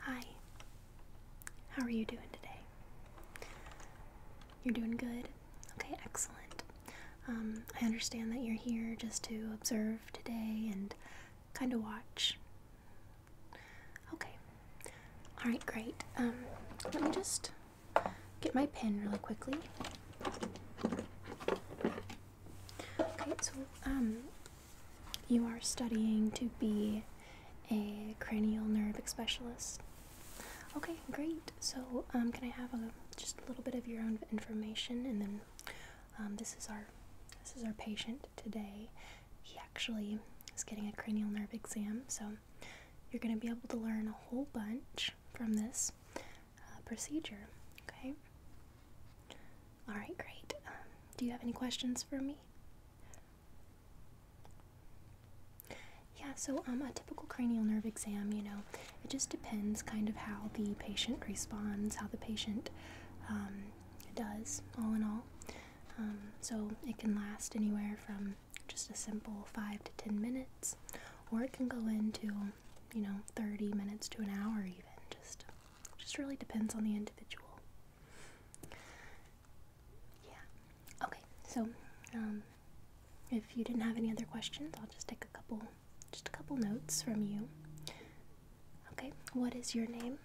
Hi. How are you doing today? You're doing good? Okay, excellent. Um, I understand that you're here just to observe today and kind of watch. Okay. Alright, great. Um, let me just get my pen really quickly. Okay, so um, you are studying to be a cranial nerve specialist. Okay, great. So, um, can I have a, just a little bit of your own information, and then um, this is our this is our patient today. He actually is getting a cranial nerve exam, so you're going to be able to learn a whole bunch from this uh, procedure. Okay. All right, great. Um, do you have any questions for me? Yeah, so um, a typical cranial nerve exam, you know, it just depends kind of how the patient responds, how the patient um, does, all in all. Um, so it can last anywhere from just a simple 5 to 10 minutes, or it can go into, you know, 30 minutes to an hour even, just it just really depends on the individual. Yeah. Okay. So, um, if you didn't have any other questions, I'll just take a couple, just a couple notes from you. Okay. What is your name?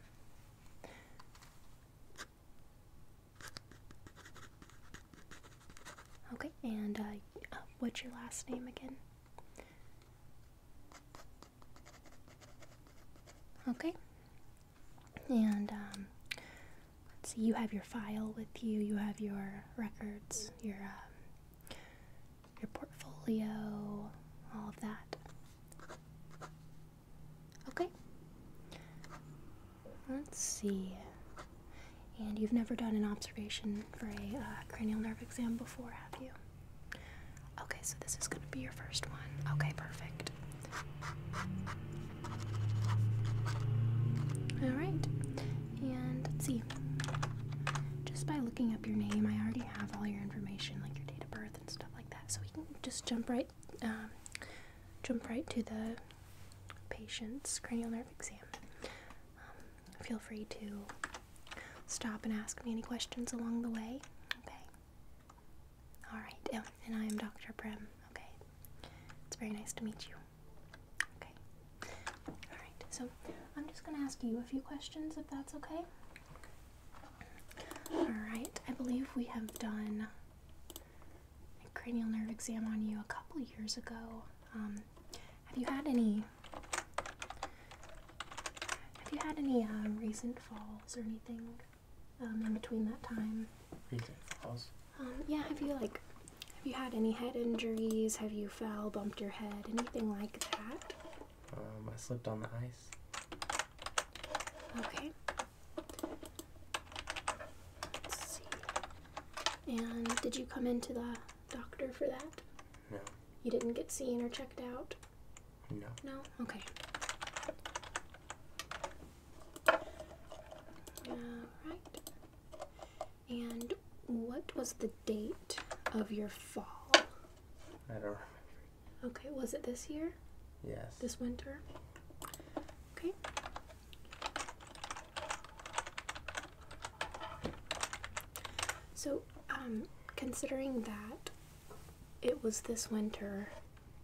Okay. And uh, uh what's your last name again? Okay. And um, let's see, you have your file with you, you have your records, your, um, your portfolio, all of that. Okay. Let's see. And you've never done an observation for a uh, cranial nerve exam before, have you? Okay, so this is going to be your first one. Okay, perfect. Alright, and let's see. Just by looking up your name, I already have all your information, like your date of birth and stuff like that. So we can just jump right, um, jump right to the patient's cranial nerve exam. Um, feel free to stop and ask me any questions along the way. Okay. Alright, oh, and I am Dr. Prem. Okay. It's very nice to meet you. Okay. Alright, so I'm just going to ask you a few questions if that's okay. Alright, I believe we have done a cranial nerve exam on you a couple years ago. Um, have you had any have you had any um, recent falls or anything um, in between that time? Recent falls? Um, yeah, have you like, have you had any head injuries? Have you fell, bumped your head, anything like that? I slipped on the ice. Okay. Let's see. And did you come into the doctor for that? No. You didn't get seen or checked out? No. No? Okay. Alright. And what was the date of your fall? I don't remember. Okay, was it this year? Yes. This winter? Okay. So, um, considering that, it was this winter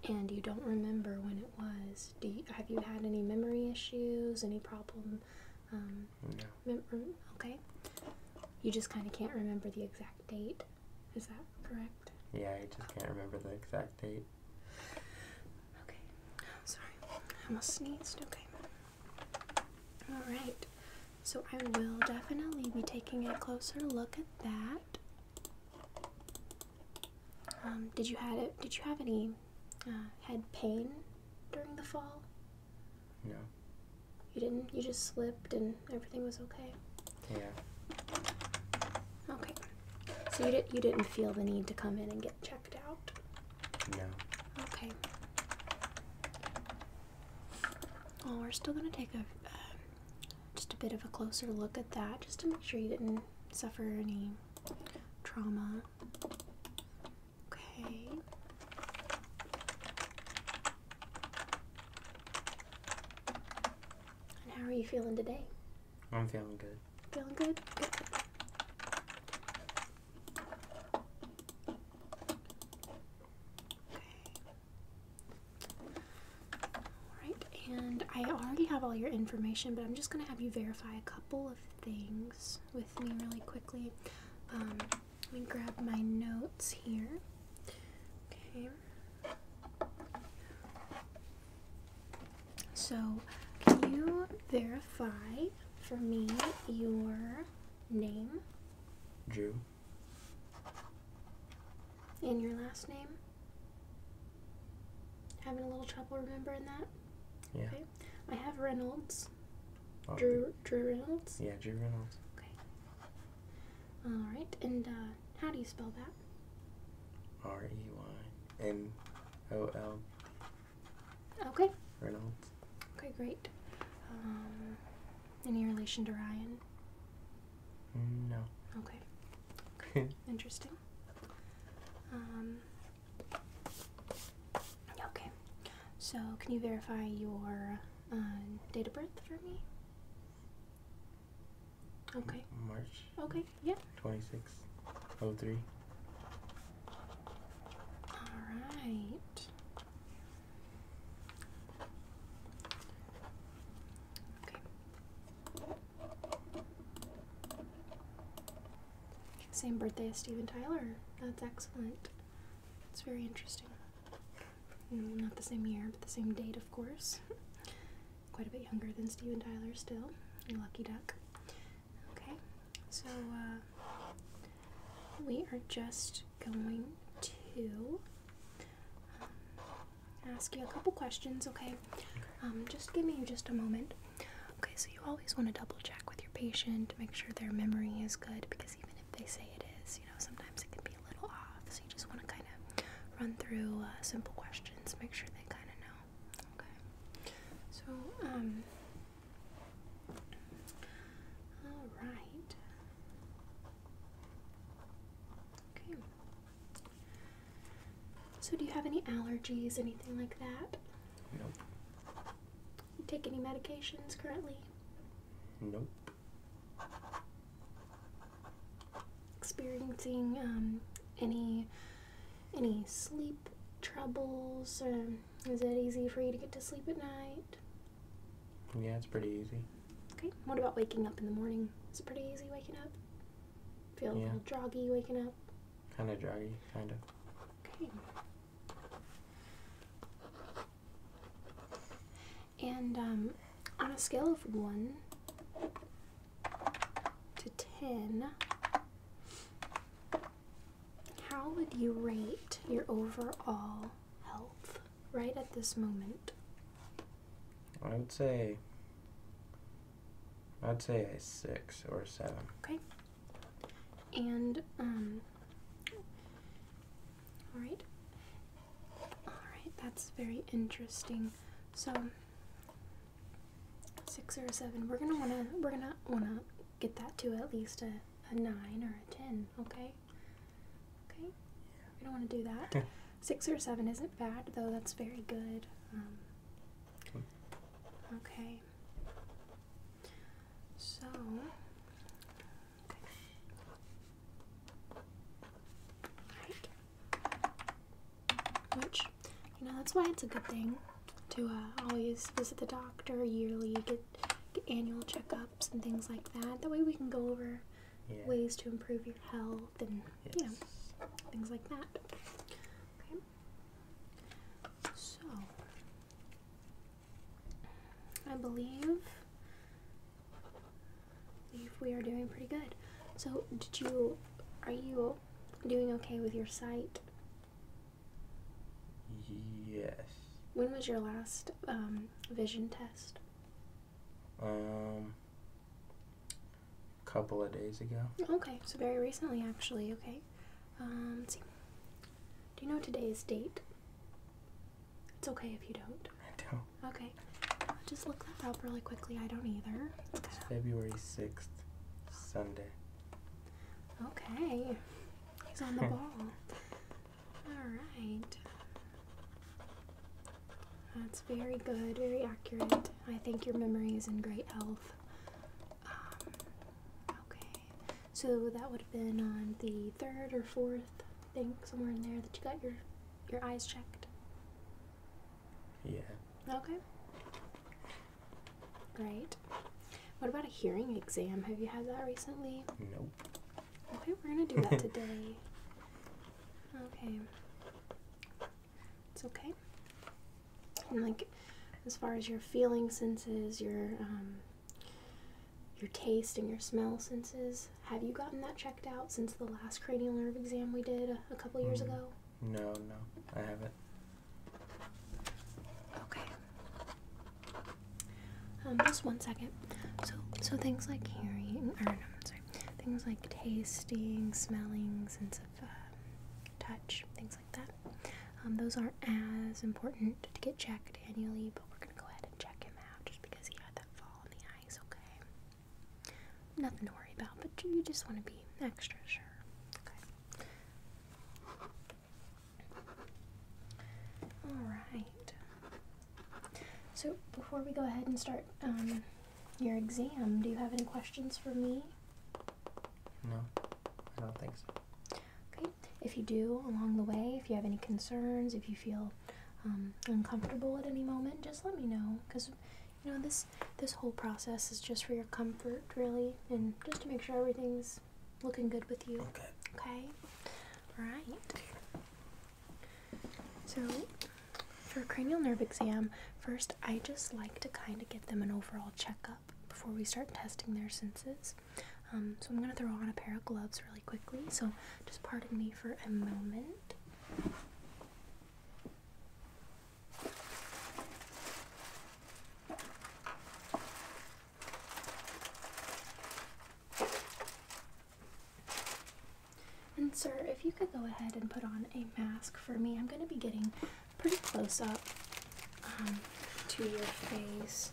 and you don't remember when it was, do you, have you had any memory issues, any problem? Um, no. Okay. You just kind of can't remember the exact date. Is that correct? Yeah, I just can't remember the exact date. Okay. Sorry. I almost sneezed. Okay. All right. So I will definitely be taking a closer look at that. Um, did you had it? Did you have any uh, head pain during the fall? No. You didn't. You just slipped and everything was okay. Yeah. Okay. So you did. You didn't feel the need to come in and get checked out. No. Okay. Well, we're still gonna take a um, just a bit of a closer look at that just to make sure you didn't suffer any trauma. Okay. And how are you feeling today? I'm feeling good. Feeling good? Okay. Alright, and I already have all your information, but I'm just going to have you verify a couple of things with me really quickly. Um, let me grab my notes here. Okay. So, can you verify for me your name? Drew. In your last name? Having a little trouble remembering that? Yeah. Okay. I have Reynolds. Oh. Drew Drew Reynolds? Yeah, Drew Reynolds. Okay. Alright, and uh, how do you spell that? R E Y N O L. Okay. Reynolds. Okay, great. Um, any relation to Ryan? No. Okay. Interesting. Um, okay. So, can you verify your uh, date of birth for me? Okay. March. Okay, yeah. 2603. Alright. Same birthday as Steven Tyler. That's excellent. It's very interesting. Mm, not the same year, but the same date, of course. Quite a bit younger than Steven Tyler still. You lucky duck. Okay, so uh, we are just going to ask you a couple questions, okay? Um, just give me just a moment. Okay, so you always want to double check with your patient to make sure their memory is good because even if they say it is, you know, sometimes it can be a little off. So you just want to kind of run through uh, simple questions, make sure they kind of know. Okay. So, um, all right. Okay. So, do you have any allergies, anything like that? Nope. take any medications currently? Nope. Experiencing um, any any sleep troubles, is it easy for you to get to sleep at night? Yeah, it's pretty easy. Okay. What about waking up in the morning? Is it pretty easy waking up? Feel a little droggy waking up? Kind of droggy, kind of. Okay. And um, on a scale of 1 to 10, how would you rate your overall health? right at this moment? I would say I'd say a six or a seven. Okay. And um Alright. Alright, that's very interesting. So six or seven. We're gonna wanna we're gonna wanna get that to at least a, a nine or a ten, okay? Okay, we don't want to do that. Six or seven isn't bad, though. That's very good. Um, okay. okay. So. Right. Which, you know, that's why it's a good thing to uh, always visit the doctor yearly, get, annual checkups and things like that. That way we can go over ways to improve your health health and you know things like that. Okay. So I believe believe we are doing pretty good. So did you are you doing okay with your sight? Yes. When was your last um, vision test? Um, couple of days ago. Okay, so very recently, actually. Okay. Um, see. Do you know today's date? It's okay if you don't. I don't. Okay. just look that up really quickly. I don't either. February 6th, Sunday. Okay. He's on the ball. All right. That's very good, very accurate. I think your memory is in great health. Um, okay, so that would have been on the third or fourth I think, somewhere in there, that you got your your eyes checked. Yeah. Okay. Great. What about a hearing exam? Have you had that recently? Nope. Okay, we're gonna do that today. Okay. It's okay. And like, as far as your feeling senses, your um, your taste and your smell senses, have you gotten that checked out since the last cranial nerve exam we did a, couple years mm. ago? No, no, I haven't. Okay. Um, just one second. So, so things like hearing, or no, sorry, things like tasting, smelling, sense of um, touch, things like that. Um, those aren't as important to get checked annually, but we're gonna go ahead and check him out just because he had that fall in the eyes, okay? Nothing to worry about, but you just want to be extra sure. Okay. All right. So before we go ahead and start um, your exam. Do you have any questions for me? No, I don't think so. Okay, if you do along the way, if you have any concerns, if you feel um, uncomfortable at any moment, just let me know because you know this this whole process is just for your comfort, really, and just to make sure everything's looking good with you. Okay. Okay. All right. So, for a cranial nerve exam, first I just like to kind of get them an overall checkup before we start testing their senses. Um, so, I'm going to throw on a pair of gloves really quickly. So, just pardon me for a moment. And sir, if you could go ahead and put on a mask for me, I'm going to be getting pretty close up um, to your face.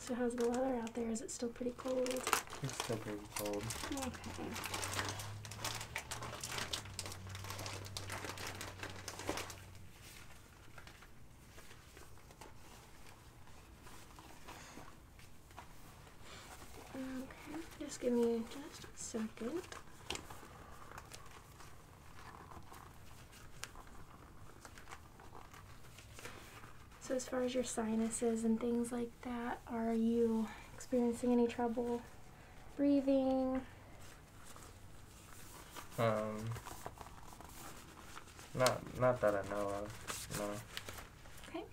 So how's the weather out there? Is it still pretty cold? It's still pretty cold. Okay. Okay, just give me just a second. So as far as your sinuses and things like that, are you experiencing any trouble breathing? Um, not, not that I know of, no. Okay.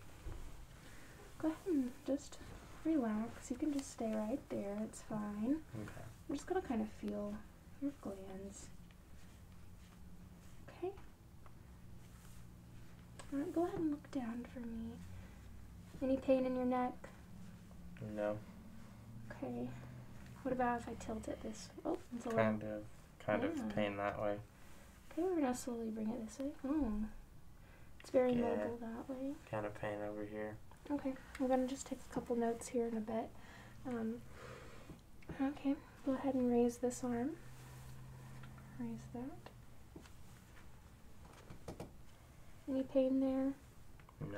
Go ahead and just relax. You can just stay right there, it's fine. Okay. I'm just gonna kind of feel your glands. Okay. go ahead and look down for me. Any pain in your neck? No. Okay. What about if I tilt it this Oh, it's a kind Of, kind of pain that way. Okay, we're gonna slowly bring it this way. Oh. It's very mobile that way. Kind of pain over here. Okay, I'm going to just take a couple notes here in a bit. Um, okay, go ahead and raise this arm. Raise that. Any pain there? No.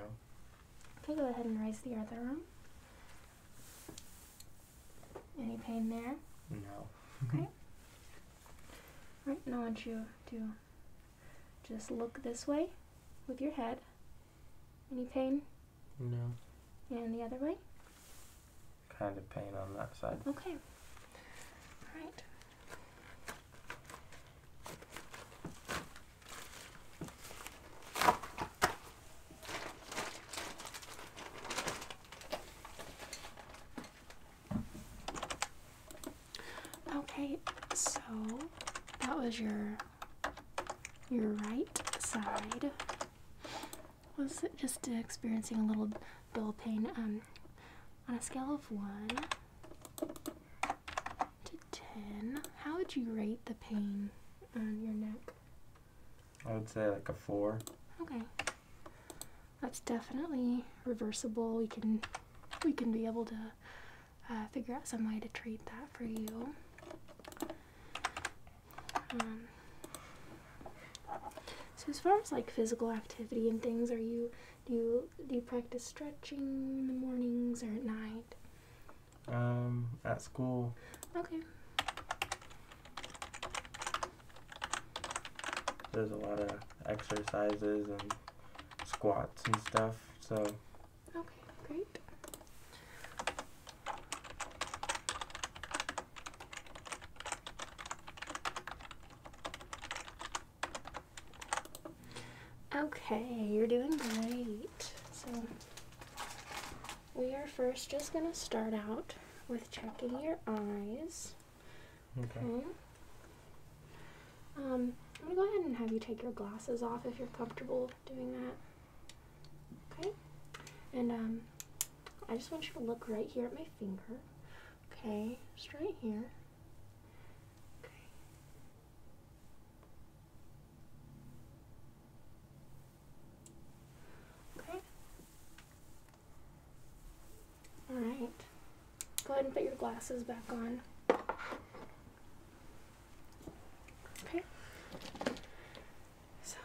Okay, go ahead and raise the other arm. Any pain there? No. okay. Right, now I want you to just look this way with your head. Any pain? No. And the other way? Kind of pain on that side. Okay. All right. Okay, so that was your your right side. Was just experiencing a little bill pain. Um, on a scale of one to ten, how would you rate the pain on your neck? I would say like a four. Okay, that's definitely reversible. We can we can be able to uh, figure out some way to treat that for you. Um, so as far as like physical activity and things, are you do you do you practice stretching in the mornings or at night? Um, at school. Okay. There's a lot of exercises and squats and stuff. So. Okay, great. Okay, you're doing great. So we are first just going to start out with checking your eyes. Okay. Um, I'm gonna go ahead and have you take your glasses off if you're comfortable doing that. Okay. And um, I just want you to look right here at my finger. Okay, just right here. Okay. Okay. All right. Go ahead and put your glasses back on. Okay. So,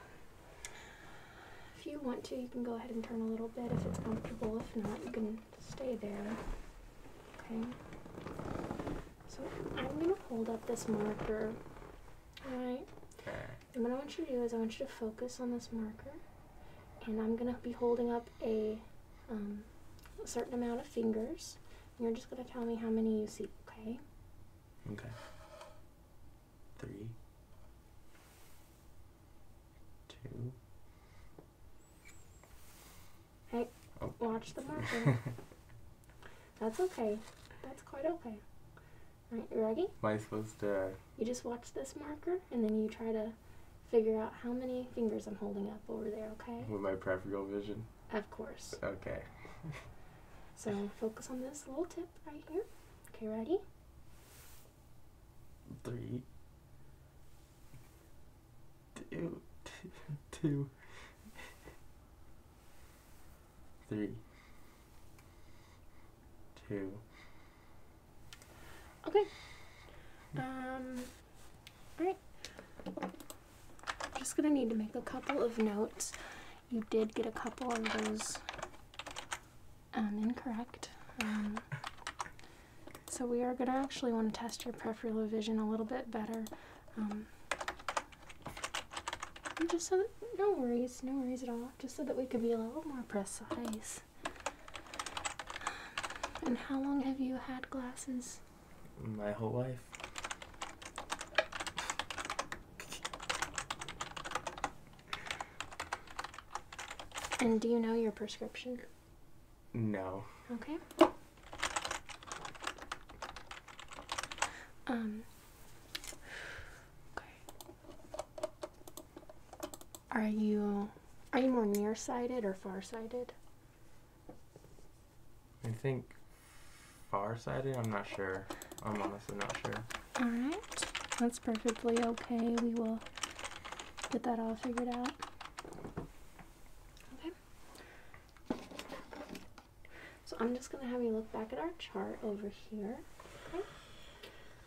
if you want to, you can go ahead and turn a little bit if it's comfortable. If not, you can stay there. Okay. So, I'm going to hold up this marker. Alright. And what I want you to do is I want you to focus on this marker. And I'm going to be holding up a um, a certain amount of fingers. You're just going to tell me how many you see, okay? Okay. Three. Two. Hey, oh. watch the marker. That's okay. That's quite okay. Alright, ready? Am I supposed to... Uh, you just watch this marker, and then you try to figure out how many fingers I'm holding up over there, okay? With my peripheral vision? Of course. Okay. so focus on this little tip right here. Okay, ready? Three. Okay. Um... Alright. I'm just going to need to make a couple of notes. You did get a couple of those um, incorrect. Um, so we are going to actually want to test your peripheral vision a little bit better. Um, just so no worries, no worries at all. Just so that we could be a little more precise. And how long have you had glasses? my whole life. And do you know your prescription? No. Okay. Um. Okay. Are you are you more nearsighted or farsighted? I think far-sighted? I'm not sure. I'm honestly not sure. Alright. That's perfectly okay. We will get that all figured out. Okay. So I'm just going to have you look back at our chart over here. Okay.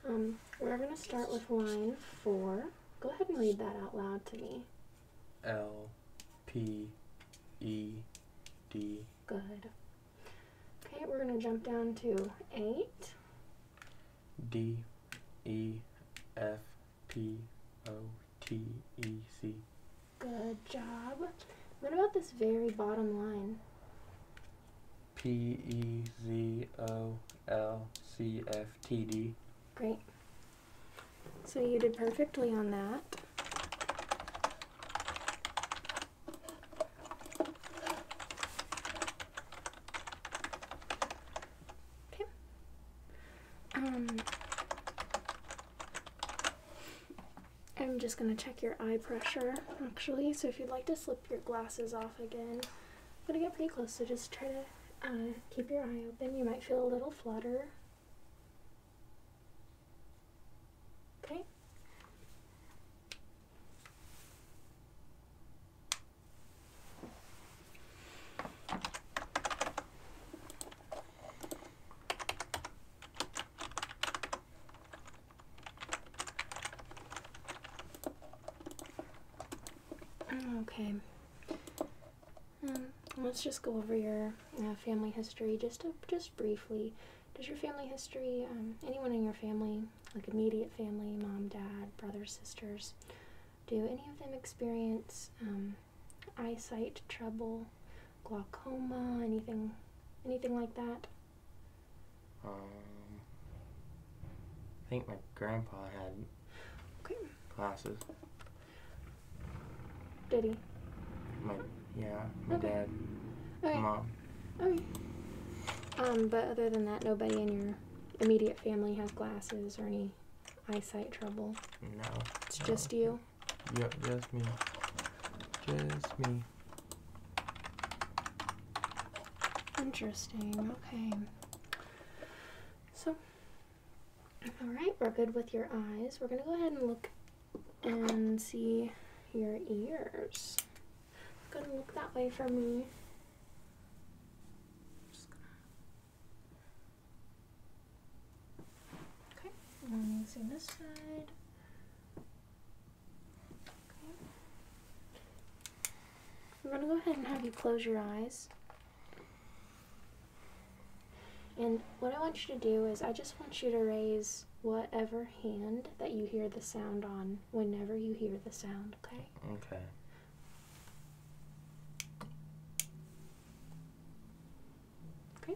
Um, we're going to start with line four. Go ahead and read that out loud to me. L P E D. Good. Okay, we're going to jump down to 8. D E F P O T E C. Good job. What about this very bottom line? P E Z O L C F T D. Great. So you did perfectly on that. Okay. Um, I'm just going to check your eye pressure actually. So if you'd like to slip your glasses off again, I'm going to get pretty close, so just try to uh, keep your eye open. You might feel a little flutter. Okay. Okay. Um, let's just go over your uh, family history just just briefly. Does your family history, um, anyone in your family, like immediate family, mom, dad, brothers, sisters, do any of them experience um, eyesight trouble, glaucoma, anything, anything like that? Um, I think my grandpa had glasses. Did he? My, yeah, my dad, okay. mom. Okay. Um, but other than that, nobody in your immediate family has glasses or any eyesight trouble. No. It's just you. Yep, just me. Just me. Interesting. Okay. So, all right, we're good with your eyes. We're gonna go ahead and look and see your ears. Gonna look that way for me. Okay, let me see this side. Okay. I'm gonna go ahead and have you close your eyes. And what I want you to do is I just want you to raise whatever hand that you hear the sound on whenever you hear the sound, okay? Okay. Okay.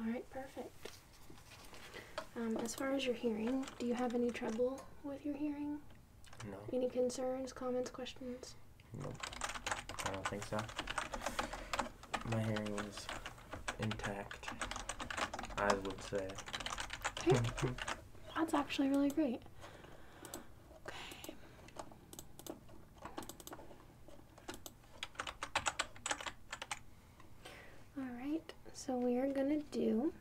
Alright, perfect. Um, as far as your hearing, do you have any trouble with your hearing? No. Any concerns, comments, questions? No. I don't think so. My hearing is intact, I would say. That's actually really great. Okay. Alright, so we are going to do.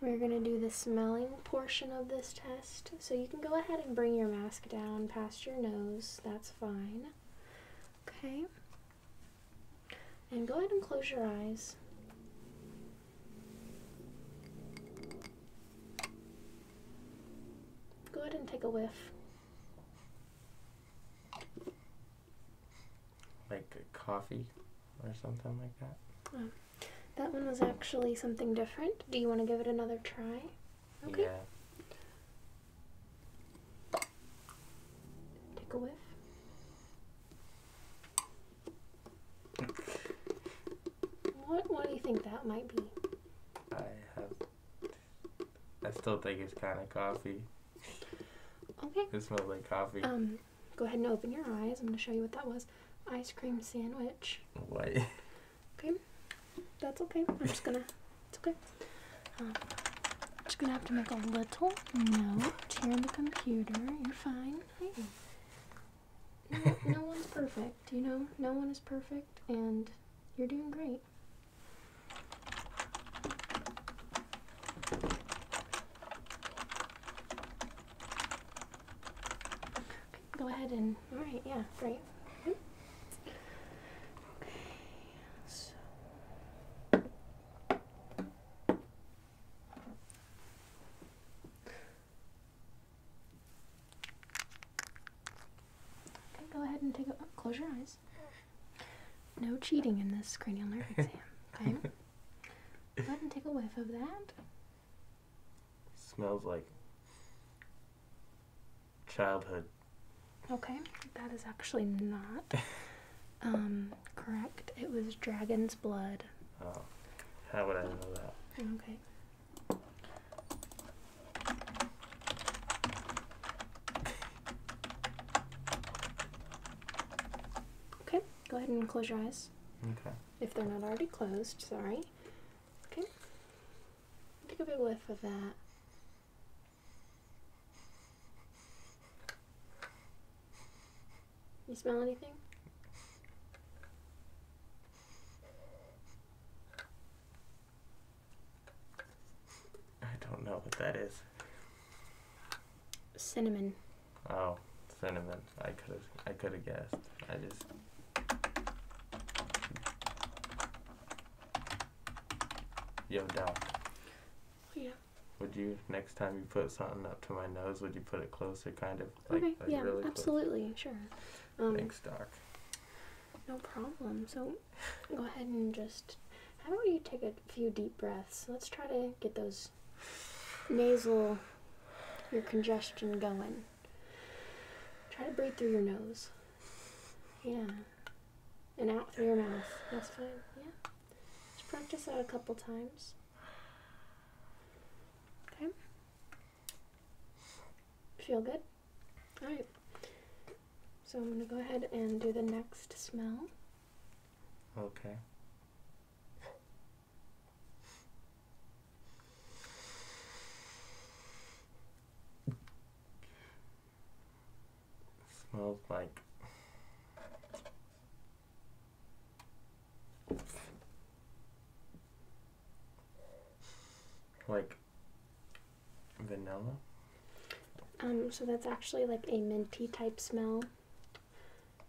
We're going to do the smelling portion of this test. So you can go ahead and bring your mask down past your nose. That's fine. Okay. And go ahead and close your eyes. Go ahead and take a whiff. Like coffee or something like that? Oh. that one was actually something different. Do you want to give it another try? Okay. Take a whiff. What, what do you think that might be? I have I still think it's kind of coffee. Okay. It smells like coffee. Um, go ahead and open your eyes. I'm gonna show you what that was. Ice cream sandwich. What? Okay. That's okay. I'm just gonna. It's okay. Um, I'm just gonna have to make a little note here on the computer. You're fine. Hey. No, no one's perfect. You know, no one is perfect, and you're doing great. Go ahead and, all right, yeah, great. Okay, so. Okay, go ahead and take a, close your eyes. No cheating in this cranial nerve exam. Okay. Go ahead and take a whiff of that. Smells like childhood. Okay, that is actually not um, correct. It was dragon's blood. Oh, how would I know that? Okay. Okay, go ahead and close your eyes. Okay. If they're not already closed, sorry. Okay. Take a big whiff of that. You smell anything? I don't know what that is. Cinnamon. Oh, cinnamon. I could have I could have guessed. I just you Yo, Doc. Yeah. Would you next time you put something up to my nose, would you put it closer, kind of? Like, okay. yeah. absolutely. Sure. Um, Thanks, No problem. So Go ahead and just. How about you take a few deep breaths? Let's try to get those nasal, your congestion going. Try to breathe through your nose. Yeah. And out through your mouth. That's fine. Yeah. Just practice that a couple times. Okay. Feel good? Alright. So I'm going to go ahead and do the next smell. Okay. smells like like Vanilla? Um, so that's actually like a minty type smell.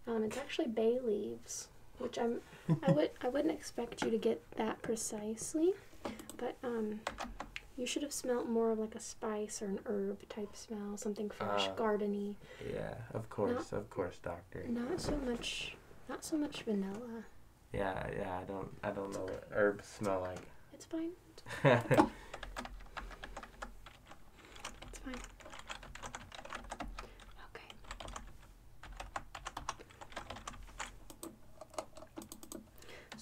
Um, it's actually bay leaves, which I'm I would I wouldn't expect you to get that precisely, but um, you should have smelled more of like a spice or an herb type smell, something fresh, ah. gardeny. Yeah, of course, of course, doctor. Not so much, not so much vanilla. Yeah, yeah, I don't I don't know what herbs smell like. It's fine.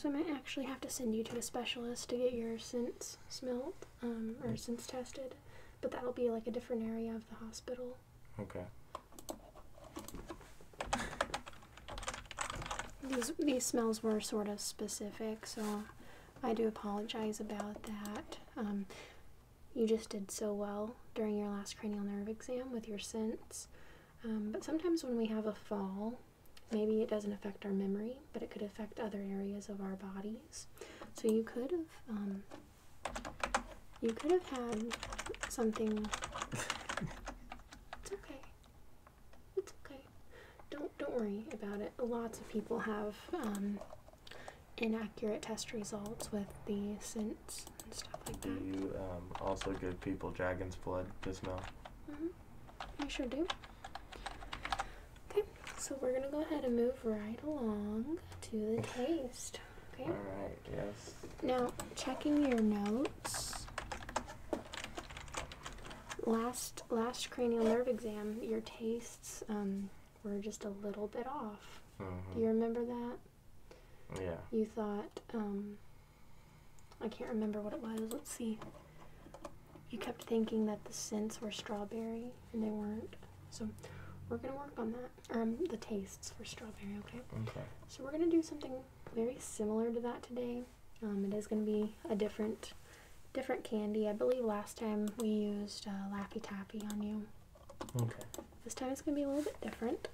So I might actually have to send you to a specialist to get your sense smelled um, or mm. sense tested, but that'll be like a different area of the hospital. Okay. These, these smells were sort of specific, so I do apologize about that. Um, you just did so well during your last cranial nerve exam with your scents. Um, but sometimes when we have a fall, maybe it doesn't affect our memory, but it could affect other areas of our bodies. So you could have, um, you could have had something. it's okay. It's okay. Don't don't worry about it. Lots of people have um, inaccurate test results with the synths and stuff like that. Do you um, also give people dragon's blood to smell? hmm I sure do. Okay, so we're gonna go ahead and move right along to the taste. Okay. All right. Yes. Now checking your notes last last cranial nerve exam, your tastes um, were just a little bit off. Do you mm-hmm. remember that? Yeah. You thought um, I can't remember what it was. Let's see. You kept thinking that the scents were strawberry, and they weren't. So we're gonna work on that. Um, the tastes for strawberry. Okay. Okay. So we're gonna do something very similar to that today. Um, it is going to be a different different candy. I believe last time we used uh, Laffy Taffy on you. Okay. This time it's going to be a little bit different.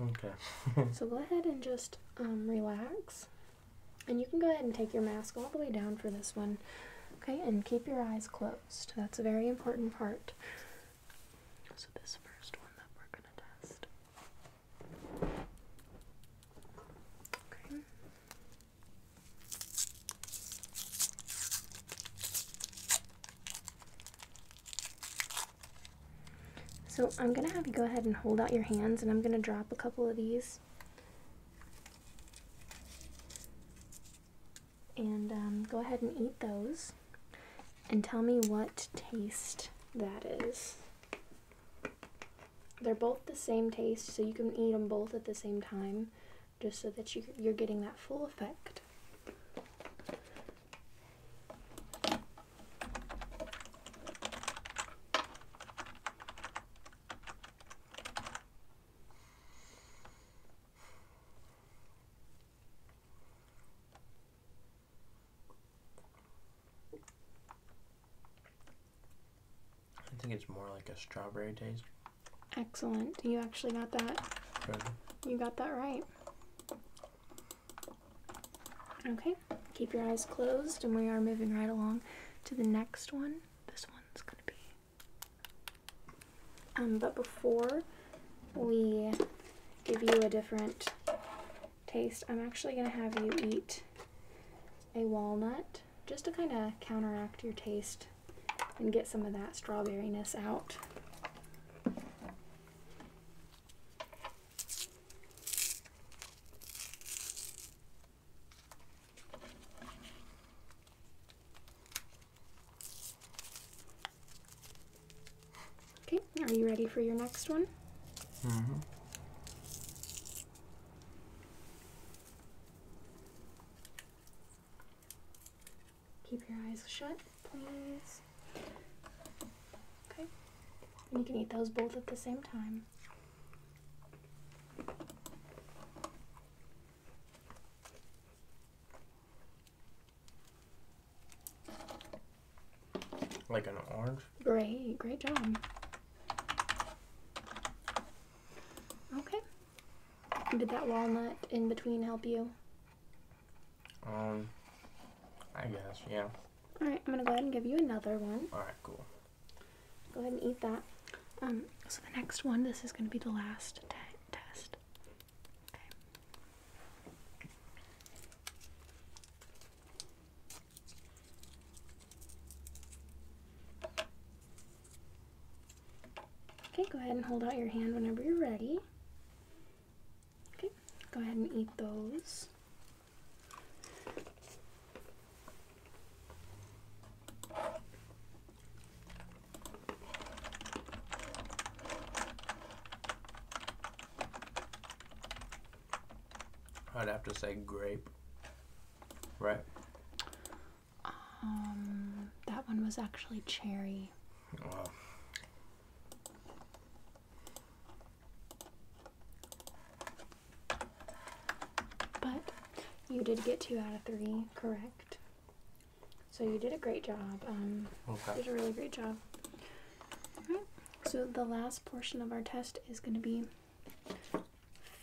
Okay. so go ahead and just um, relax. And you can go ahead and take your mask all the way down for this one. Okay, and keep your eyes closed. That's a very important part. So this first one that we're going to test Okay. So I'm going to have you go ahead and hold out your hands and I'm going to drop a couple of these. And um, go ahead and eat those and tell me what taste that is. They're both the same taste, so you can eat them both at the same time, just so that you, you're getting that full effect. I think it's more like a strawberry taste. Excellent. You actually got that. You got that right. Okay, keep your eyes closed, and we are moving right along to the next one. This one's gonna be. Um, but before we give you a different taste, I'm actually gonna have you eat a walnut just to kind of counteract your taste and get some of that strawberryness out. Okay, are you ready for your next one? Mm-hmm. Keep your eyes shut, please. Okay. And you can eat those both at the same time. Like an orange? Great, great job. Okay. Did that walnut in between help you? Um, I guess, yeah. Alright, I'm gonna go ahead and give you another one. Alright, cool. Go ahead and eat that. Um, so the next one, this is gonna be the last test. Okay. Okay, go ahead and hold out your hand whenever you're ready. Okay, go ahead and eat those. I'd have to say grape. Right. Um, that one was actually cherry. Wow. But you did get two out of three correct. So you did a great job. Um, okay. You did a really great job. So the last portion of our test is going to be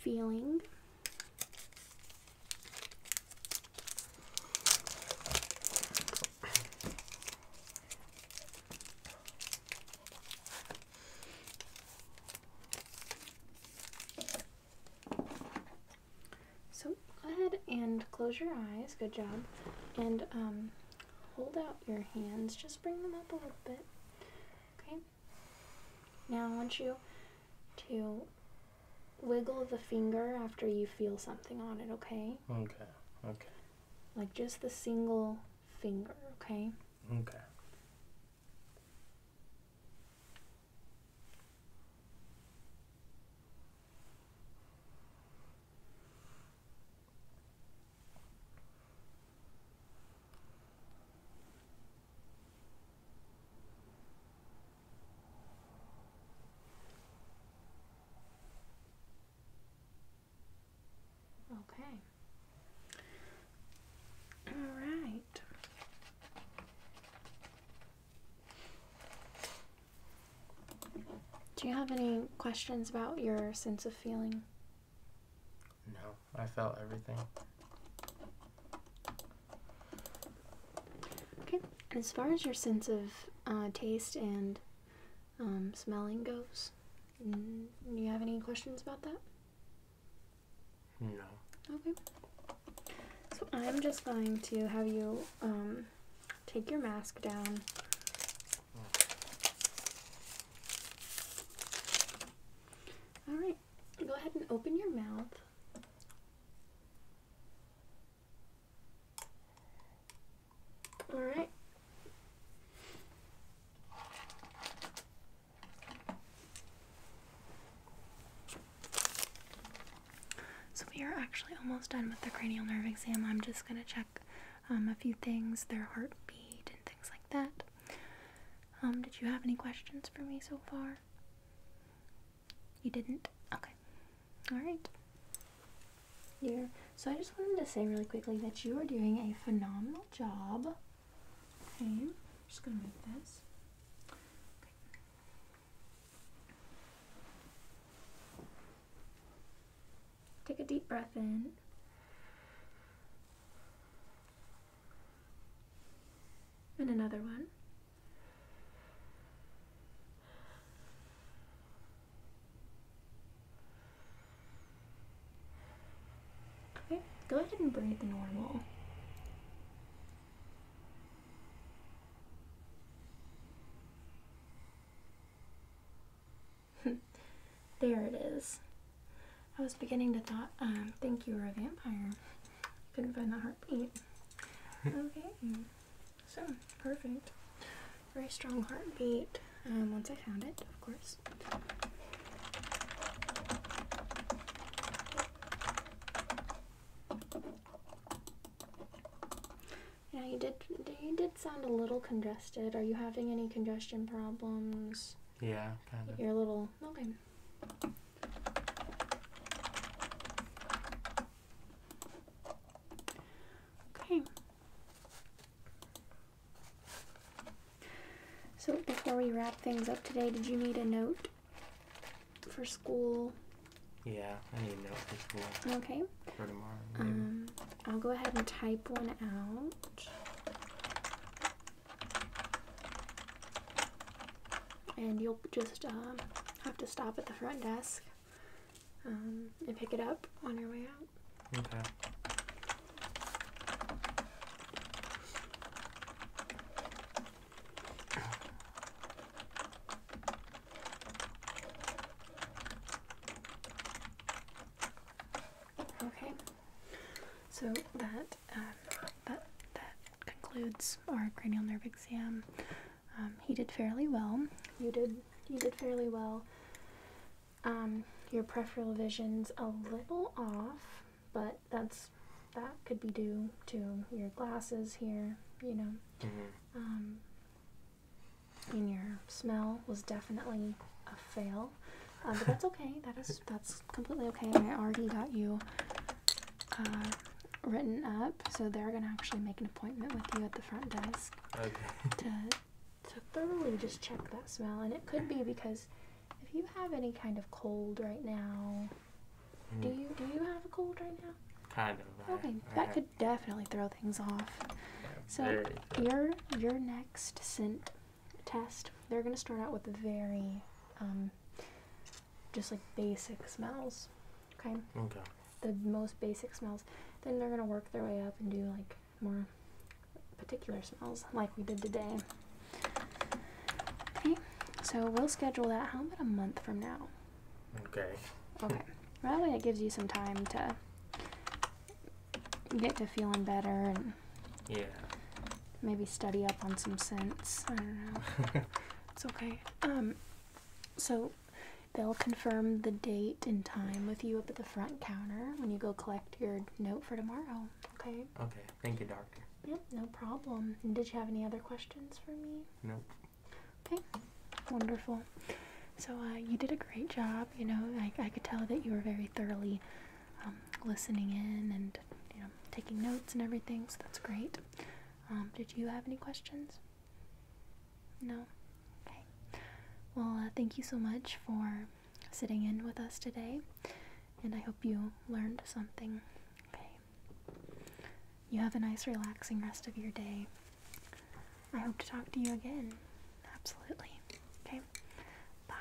feeling. So go ahead and close your eyes, good job, and um, hold out your hands, just bring them up a little bit. Okay, now I want you to wiggle the finger after you feel something on it, okay? Okay, Like just the single finger, okay? Okay. Okay. All right. Do you have any questions about your sense of feeling? No, I felt everything. Okay, as far as your sense of uh, taste and um, smelling goes, do you have any questions about that? No. Okay. So I'm just going to have you um, take your mask down. Mm. go ahead and open your mouth. All right. So we are actually almost done with the cranial nerve exam. I'm just going to check um, a few things, their heartbeat and things like that. Um, did you have any questions for me so far? You didn't? Okay. Alright. Dear, so I just wanted to say really quickly that you are doing a phenomenal job. Okay, just gonna move this. Take a deep breath in. And another one. Okay, go ahead and breathe normal. there it is. I was beginning to um, think you were a vampire. Couldn't find the heartbeat. okay, so perfect. Very strong heartbeat. Um, once I found it, of course. Yeah, you did. You did sound a little congested. Are you having any congestion problems? Yeah, kind of. You're a little okay. Okay. So before we wrap things up today, did you need a note for school? Yeah, I need a note for school. Okay. For tomorrow. Um, I'll go ahead and type one out and you'll just um, have to stop at the front desk um, and pick it up on your way out. Okay. Okay. So that um, that that concludes our cranial nerve exam. Um, he did fairly well. You did you did fairly well. Um, your peripheral vision's a little off, but that's that could be due to your glasses here. You know. Mm-hmm. and your smell was definitely a fail. Uh, but that's okay. That is that's completely okay. I already got you uh, written up, so they're gonna actually make an appointment with you at the front desk to to thoroughly just check that smell. And it could be because if you have any kind of cold right now, do mm. you do you have a cold right now? Kind of. Okay, that could definitely throw things off. so your your next scent test, they're going to start out with very um, just like basic smells. Okay? Okay. The most basic smells. Then they're going to work their way up and do like more particular smells like we did today. Okay, so we'll schedule that how about a month from now? Okay. Okay. Well, that way it gives you some time to get to feeling better and yeah. Maybe study up on some scents. I don't know. it's okay. Um, so they'll confirm the date and time with you up at the front counter when you go collect your note for tomorrow. Okay. Okay. Thank you, doctor. Yep. No problem. did you have any other questions for me? No. Okay. Wonderful. So uh, you did a great job. You know, I, I could tell that you were very thoroughly um, listening in and you know taking notes and everything. So that's great. Um, did you have any questions? No. Okay. Well, uh, thank you so much for sitting in with us today, and I hope you learned something. Okay. You have a nice, relaxing rest of your day. I hope to talk to you again. Absolutely. Okay. Bye.